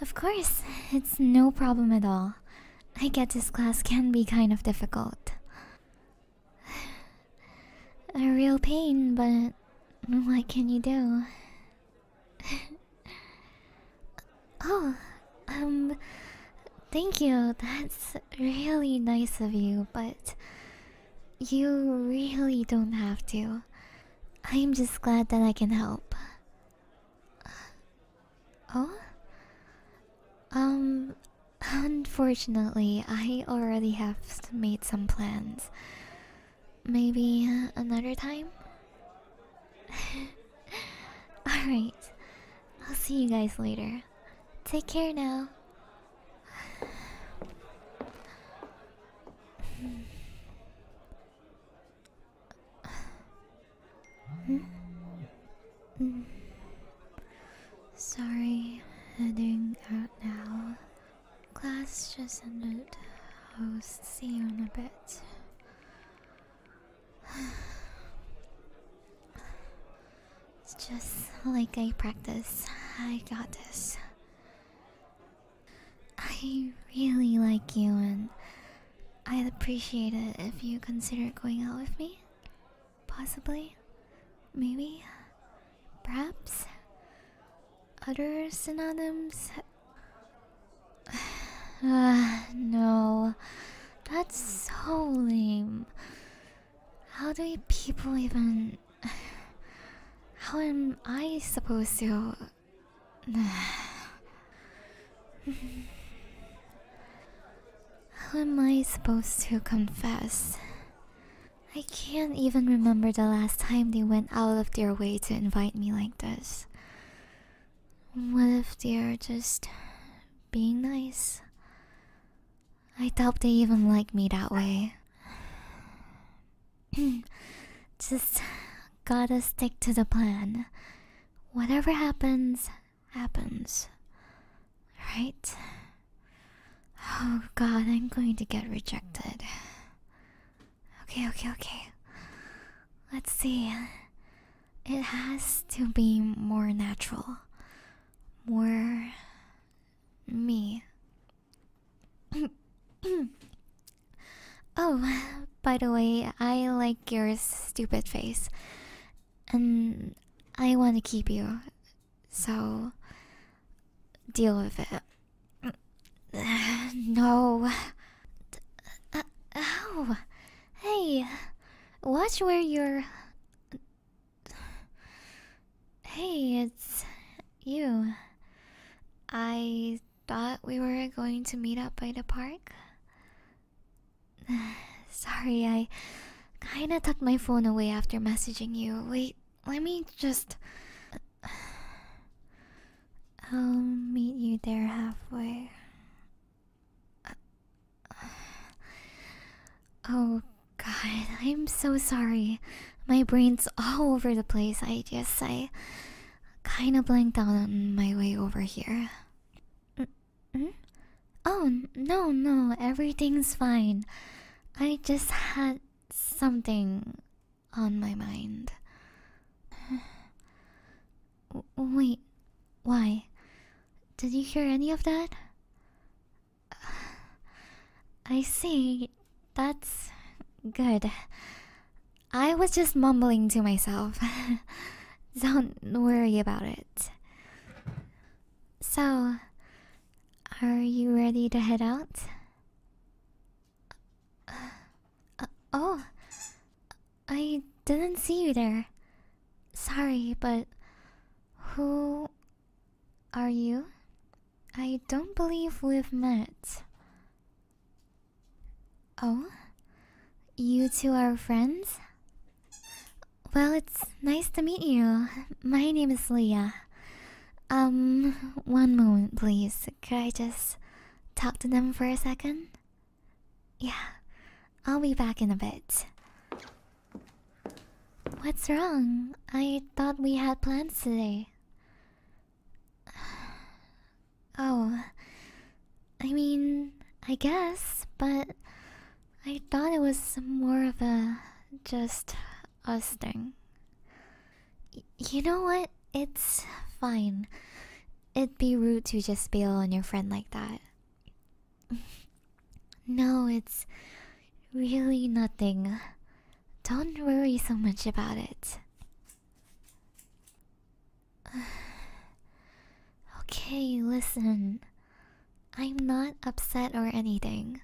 Of course, it's no problem at all. I get this class can be kind of difficult. A real pain, but what can you do? oh, um, thank you. That's really nice of you, but you really don't have to. I'm just glad that I can help. Oh? Um, unfortunately, I already have made some plans. Maybe another time? Alright, I'll see you guys later. Take care now. Mm. Sorry, heading out now. Class just ended. I'll see you in a bit. It's just like I practice. I got this. I really like you and I'd appreciate it if you consider going out with me. Possibly. Maybe. Uh, perhaps. Other synonyms? Uh, no. That's so lame. How do people even. How am I supposed to How am I supposed to confess? I can't even remember the last time they went out of their way to invite me like this. What if they're just being nice? I doubt they even like me that way. Just gotta stick to the plan. Whatever happens, happens. Right? Oh god, I'm going to get rejected. Okay, okay, okay. Let's see. It has to be more natural. More. me. oh, by the way, I like your stupid face. And I want to keep you. So, deal with it. no. Uh, Hey, watch where you're. Hey, it's you. I thought we were going to meet up by the park. Sorry, I kinda tucked my phone away after messaging you. Wait, let me just. I'll meet you there halfway. Oh god, I'm so sorry my brain's all over the place. I just, I kind of blanked out on my way over here. Mm-hmm. Oh, no, no, everything's fine. I just had something on my mind. Wait, why? Did you hear any of that? I see. That's good. I was just mumbling to myself. Don't worry about it. So, are you ready to head out? Uh, oh, I didn't see you there. Sorry, but who are you? I don't believe we've met. Oh? You two are friends? Well, it's nice to meet you. My name is Leah. Um, one moment, please. Could I just talk to them for a second? Yeah, I'll be back in a bit. What's wrong? I thought we had plans today. Oh, I mean, I guess, but I thought it was more of a just us thing. you know what? It's fine. It'd be rude to just bail on your friend like that. no, it's Really nothing. Don't worry so much about it. okay, listen. I'm not upset or anything.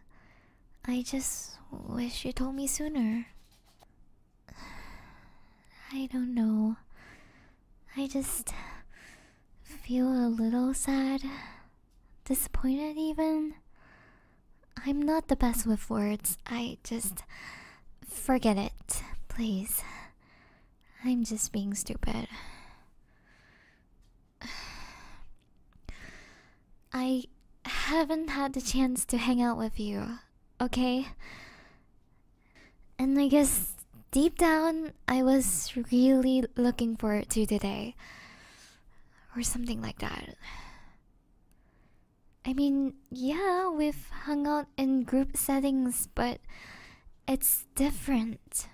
I just wish you told me sooner. I don't know. I just feel a little sad. Disappointed, even? I'm not the best with words. I just. Forget it, please. I'm just being stupid. I haven't had the chance to hang out with you, okay? And I guess deep down, I was really looking forward to today. Or something like that. I mean, yeah, we've hung out in group settings, but it's different.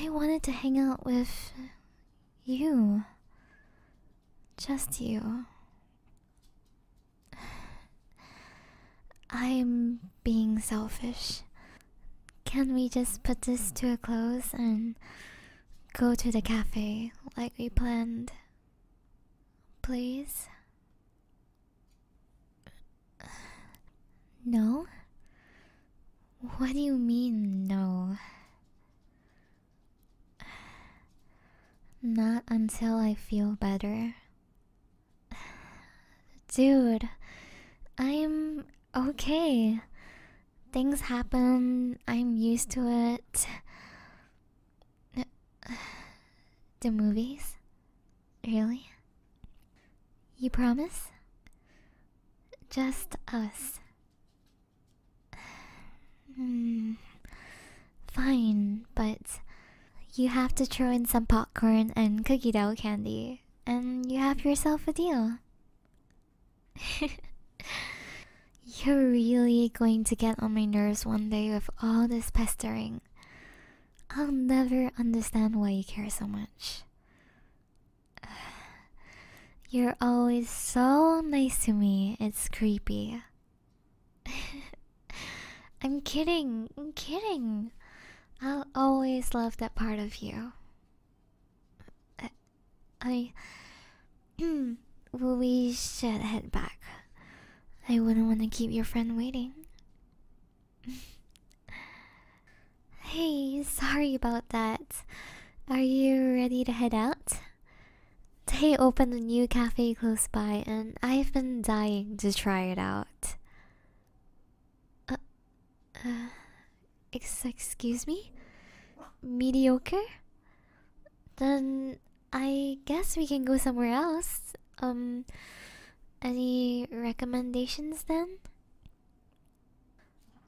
I wanted to hang out with you. Just you. I'm being selfish. Can we just put this to a close and go to the cafe like we planned. Please? No? What do you mean, no? Not until I feel better. Dude, I'm okay. Things happen. I'm used to it. The movies? Really? You promise? Just us. Hmm. Fine, but you have to throw in some popcorn and cookie dough candy, and you have yourself a deal. You're really going to get on my nerves one day with all this pestering. I'll never understand why you care so much. You're always so nice to me, it's creepy. I'm kidding, kidding. I'll always love that part of you. I. well, we should head back. I wouldn't want to keep your friend waiting. hey, sorry about that. Are you ready to head out? They opened a new cafe close by, and I've been dying to try it out. Uh, uh, excuse me? Mediocre? Then I guess we can go somewhere else. Um, any recommendations then?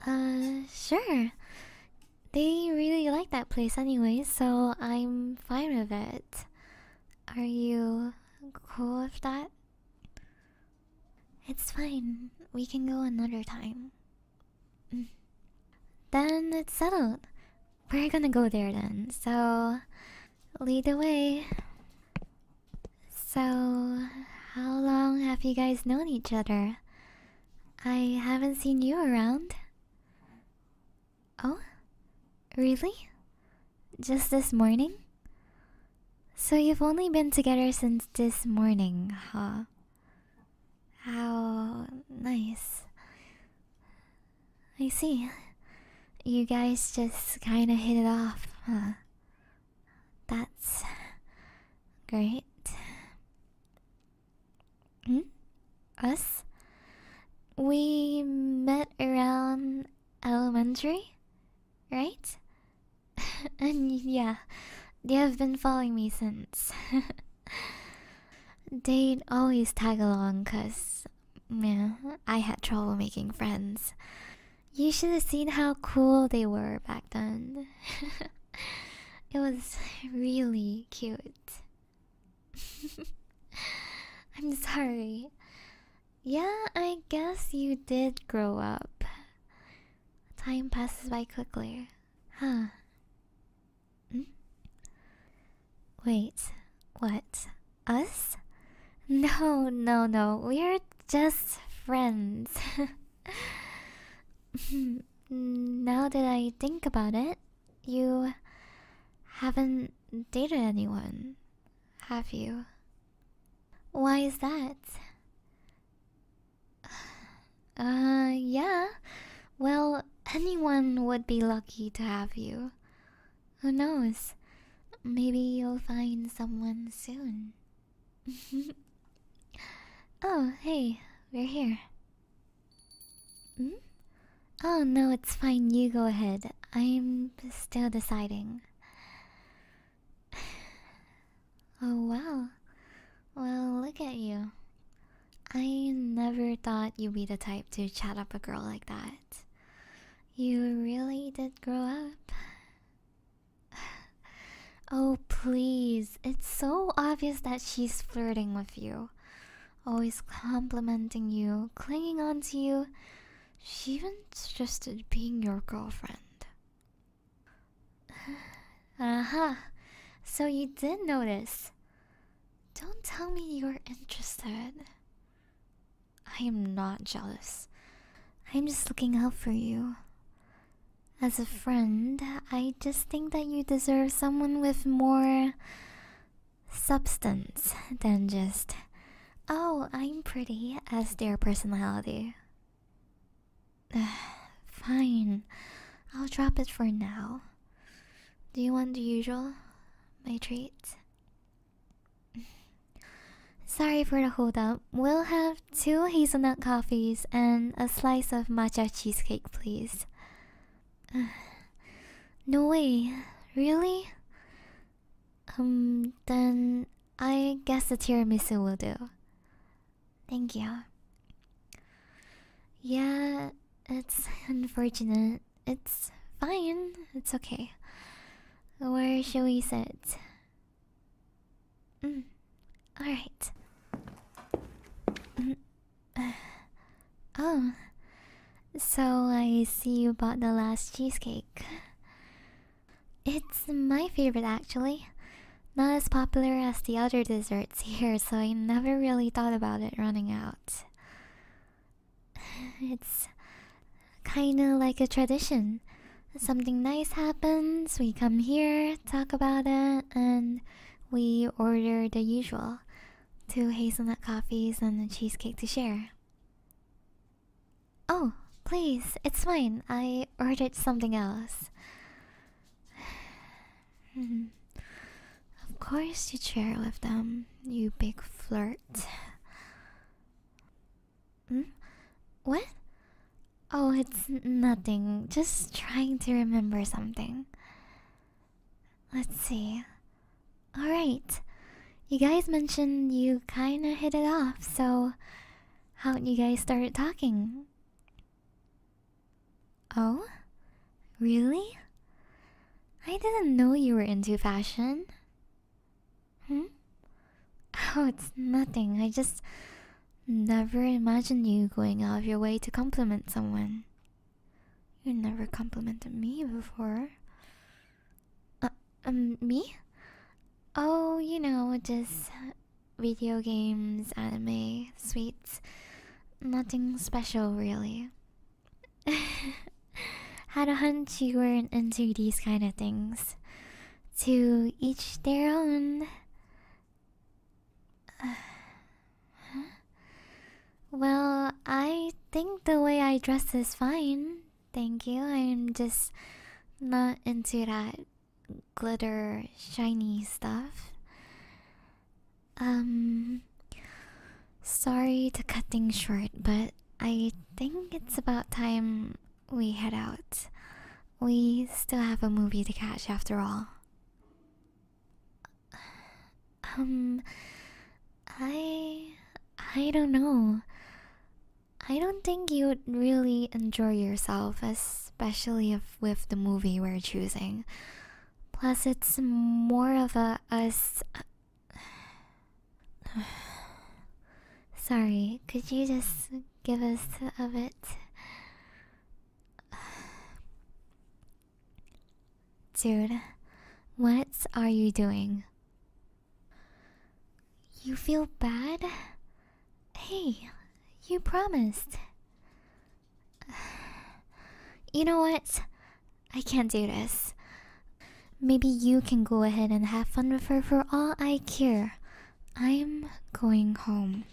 Uh, sure. They really like that place anyway, so I'm fine with it. Are you cool with that? It's fine. We can go another time. Mm. then it's settled. We're gonna go there then. So, lead the way. So, how long have you guys known each other? I haven't seen you around. Oh? Really? Just this morning? So you've only been together since this morning, huh? How nice. I see. You guys just kinda hit it off, huh? That's great. Hmm? Us? We met around elementary, right? and yeah, they have been following me since. They'd always tag along because, I had trouble making friends. You should have seen how cool they were back then. it was really cute. I'm sorry. Yeah, I guess you did grow up. Time passes by quickly. Huh. Hmm? Wait, what? Us? No, no, no. We're just friends. now that I think about it, you haven't dated anyone, have you? Why is that? Uh, yeah. Well, anyone would be lucky to have you. Who knows? Maybe you'll find someone soon. oh, hey, we're here. Hmm? Oh, no, it's fine. You go ahead. I'm still deciding. oh wow. Well, look at you. I never thought you'd be the type to chat up a girl like that. You really did grow up. Oh, please. It's so obvious that she's flirting with you. Always complimenting you, clinging on to you. She even suggested being your girlfriend. Aha, uh-huh. so you did notice. Don't tell me you're interested. I am not jealous. I'm just looking out for you. As a friend, I just think that you deserve someone with more substance than just, oh, I'm pretty, as their personality. Fine, I'll drop it for now. Do you want the usual? My treat? Sorry for the hold up. We'll have two hazelnut coffees and a slice of matcha cheesecake, please. no way, really? Um, then I guess the tiramisu will do. Thank you. Yeah, it's unfortunate. It's fine. It's okay. Where shall we sit? Mm. Alright. Oh, so I see you bought the last cheesecake. It's my favorite actually. Not as popular as the other desserts here, so I never really thought about it running out. It's kinda like a tradition. Something nice happens, we come here, talk about it, and we order the usual two hazelnut coffees and a cheesecake to share. Oh, please, it's fine. I ordered something else. Hmm. of course, you share with them, you big flirt. Hmm? What? Oh, it's nothing. Just trying to remember something. Let's see. Alright you guys mentioned you kind of hit it off, so how did you guys start talking? Oh? Really? I didn't know you were into fashion. Hmm? Oh, it's nothing. I just never imagined you going out of your way to compliment someone. You never complimented me before. Uh, um, me? Oh, you know, just video games, anime, sweets. Nothing special, really. Had a hunch you weren't into these kind of things. To each their own. Well, I think the way I dress is fine. Thank you. I'm just not into that glitter shiny stuff. Um sorry to cut things short, but I think it's about time we head out. We still have a movie to catch after all. Um I. I don't know. I don't think you would really enjoy yourself, especially if with the movie we're choosing. Plus, it's more of a us. Sorry, could you just give us a bit? Dude, what are you doing? You feel bad? Hey, you promised. You know what? I can't do this. Maybe you can go ahead and have fun with her for all I care. I'm going home.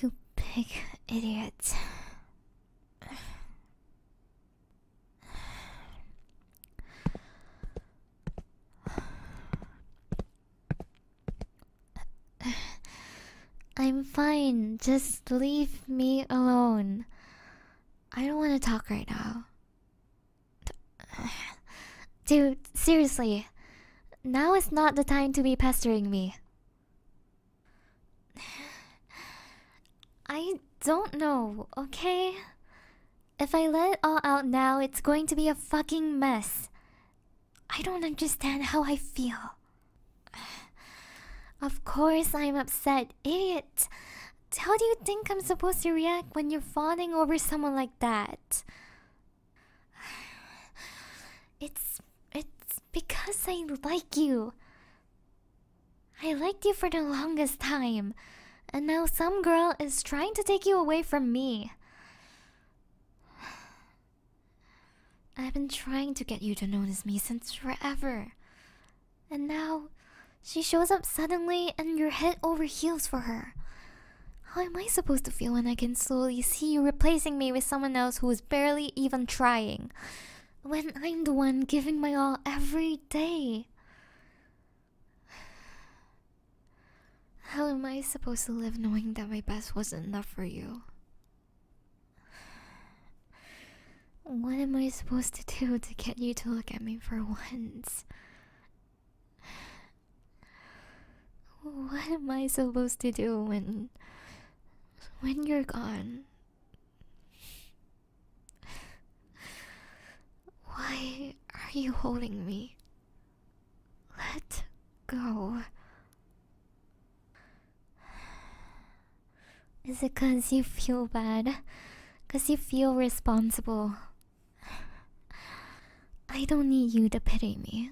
You big idiot. I'm fine. Just leave me alone. I don't want to talk right now. Dude, seriously. Now is not the time to be pestering me. I don't know, okay? If I let it all out now, it's going to be a fucking mess. I don't understand how I feel. Of course I'm upset, idiot. How do you think I'm supposed to react when you're fawning over someone like that? It's it's because I like you. I liked you for the longest time. And now some girl is trying to take you away from me. I've been trying to get you to notice me since forever. And now she shows up suddenly and you're head over heels for her. How am I supposed to feel when I can slowly see you replacing me with someone else who is barely even trying? When I'm the one giving my all every day? How am I supposed to live knowing that my best wasn't enough for you? What am I supposed to do to get you to look at me for once? What am I supposed to do when when you're gone? Why are you holding me? Let go. Is it cause you feel bad? Cause you feel responsible? I don't need you to pity me.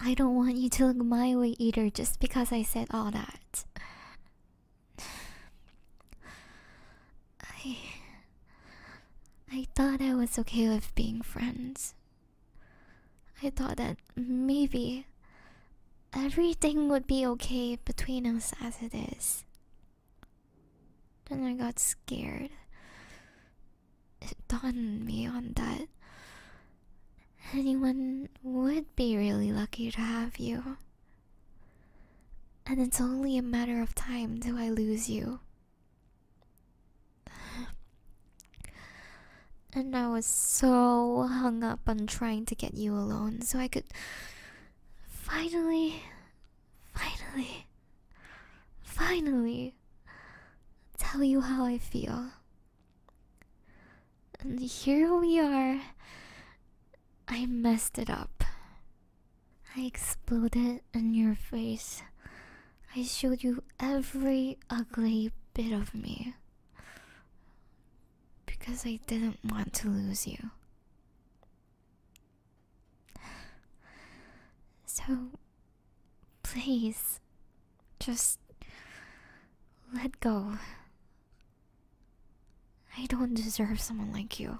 I don't want you to look my way either just because I said all that. I. I thought I was okay with being friends. I thought that maybe everything would be okay between us as it is. Then I got scared it dawned me on that anyone would be really lucky to have you. And it's only a matter of time till I lose you. And I was so hung up on trying to get you alone so I could finally, finally, finally tell you how I feel. And here we are. I messed it up. I exploded in your face. I showed you every ugly bit of me. Because I didn't want to lose you. So Please, just let go. I don't deserve someone like you.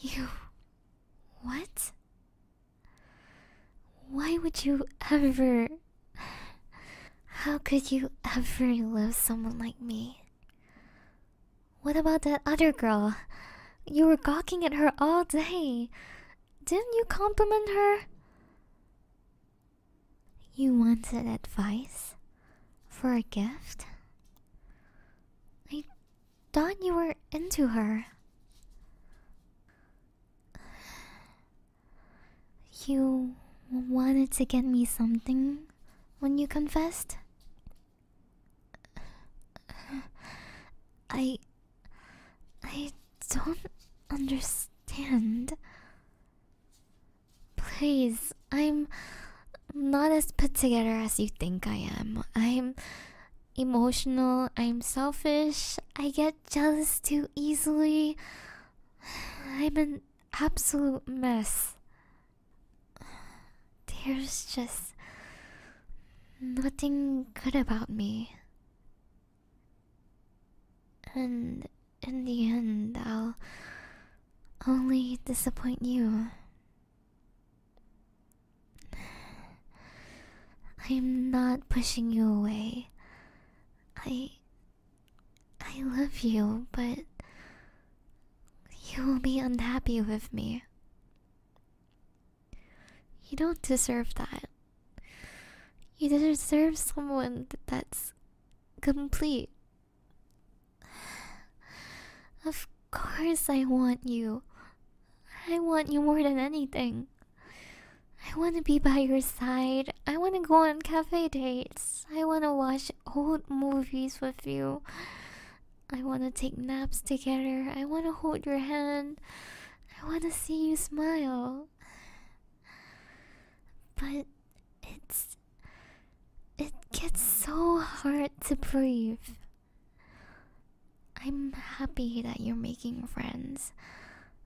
You. What? Why would you ever. How could you ever love someone like me? What about that other girl? You were gawking at her all day. Didn't you compliment her? You wanted advice? For a gift? I thought you were into her. You wanted to get me something when you confessed? I. I don't understand. Please, I'm not as put together as you think I am. I'm emotional, I'm selfish, I get jealous too easily. I'm an absolute mess. There's just nothing good about me. And in the end, I'll only disappoint you. I'm not pushing you away. I I love you, but you will be unhappy with me. You don't deserve that. You deserve someone that's complete. Of course, I want you. I want you more than anything. I want to be by your side. I want to go on cafe dates. I want to watch old movies with you. I want to take naps together. I want to hold your hand. I want to see you smile. But it's. It gets so hard to breathe. I'm happy that you're making friends.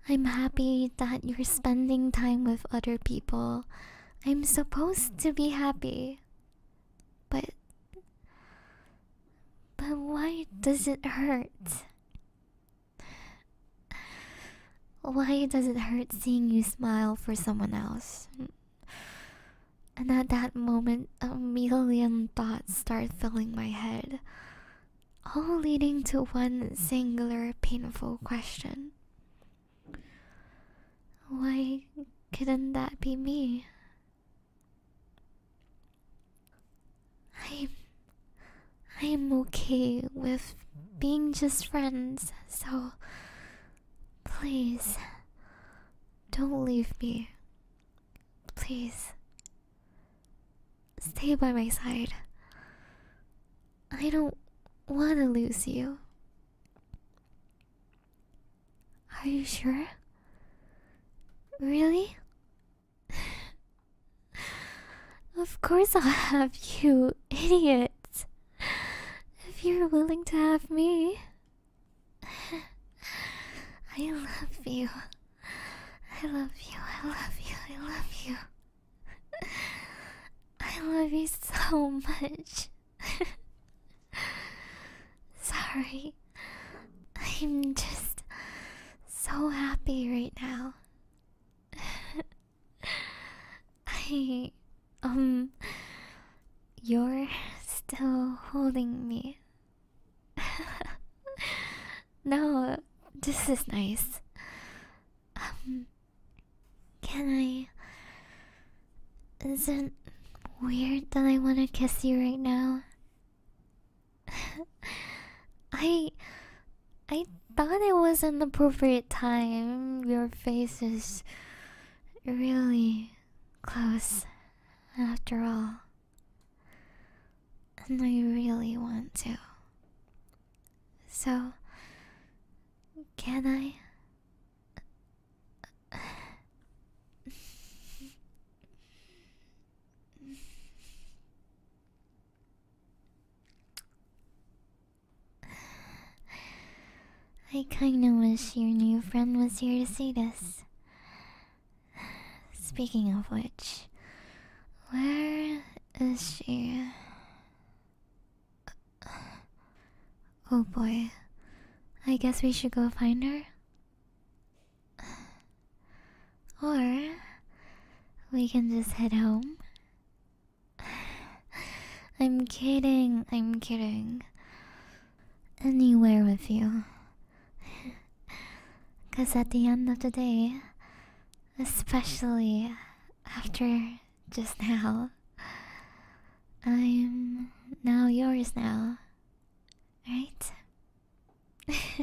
I'm happy that you're spending time with other people. I'm supposed to be happy. But. But why does it hurt? Why does it hurt seeing you smile for someone else? And at that moment, a million thoughts start filling my head, all leading to one singular painful question why couldn't that be me? I'm I'm okay with being just friends, so please don't leave me. Please stay by my side. I don't want to lose you. Are you sure? Really? of course, I'll have you, idiot. If you're willing to have me, I love you. I love you. I love you. I love you. I love you so much. Sorry. I'm just so happy right now. I um you're still holding me. no, this is nice. Um can I? Isn't weird that I want to kiss you right now? I I thought it was an appropriate time. Your face is really close after all. And I really want to. So can I? I kinda wish your new friend was here to see this. Speaking of which, where is she? Oh boy. I guess we should go find her. Or we can just head home. I'm kidding, I'm kidding. Anywhere with you. Because at the end of the day, especially after just now. I'm now yours now. Right?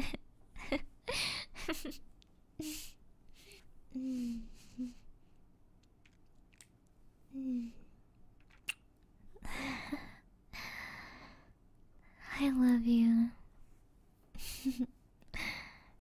I love you.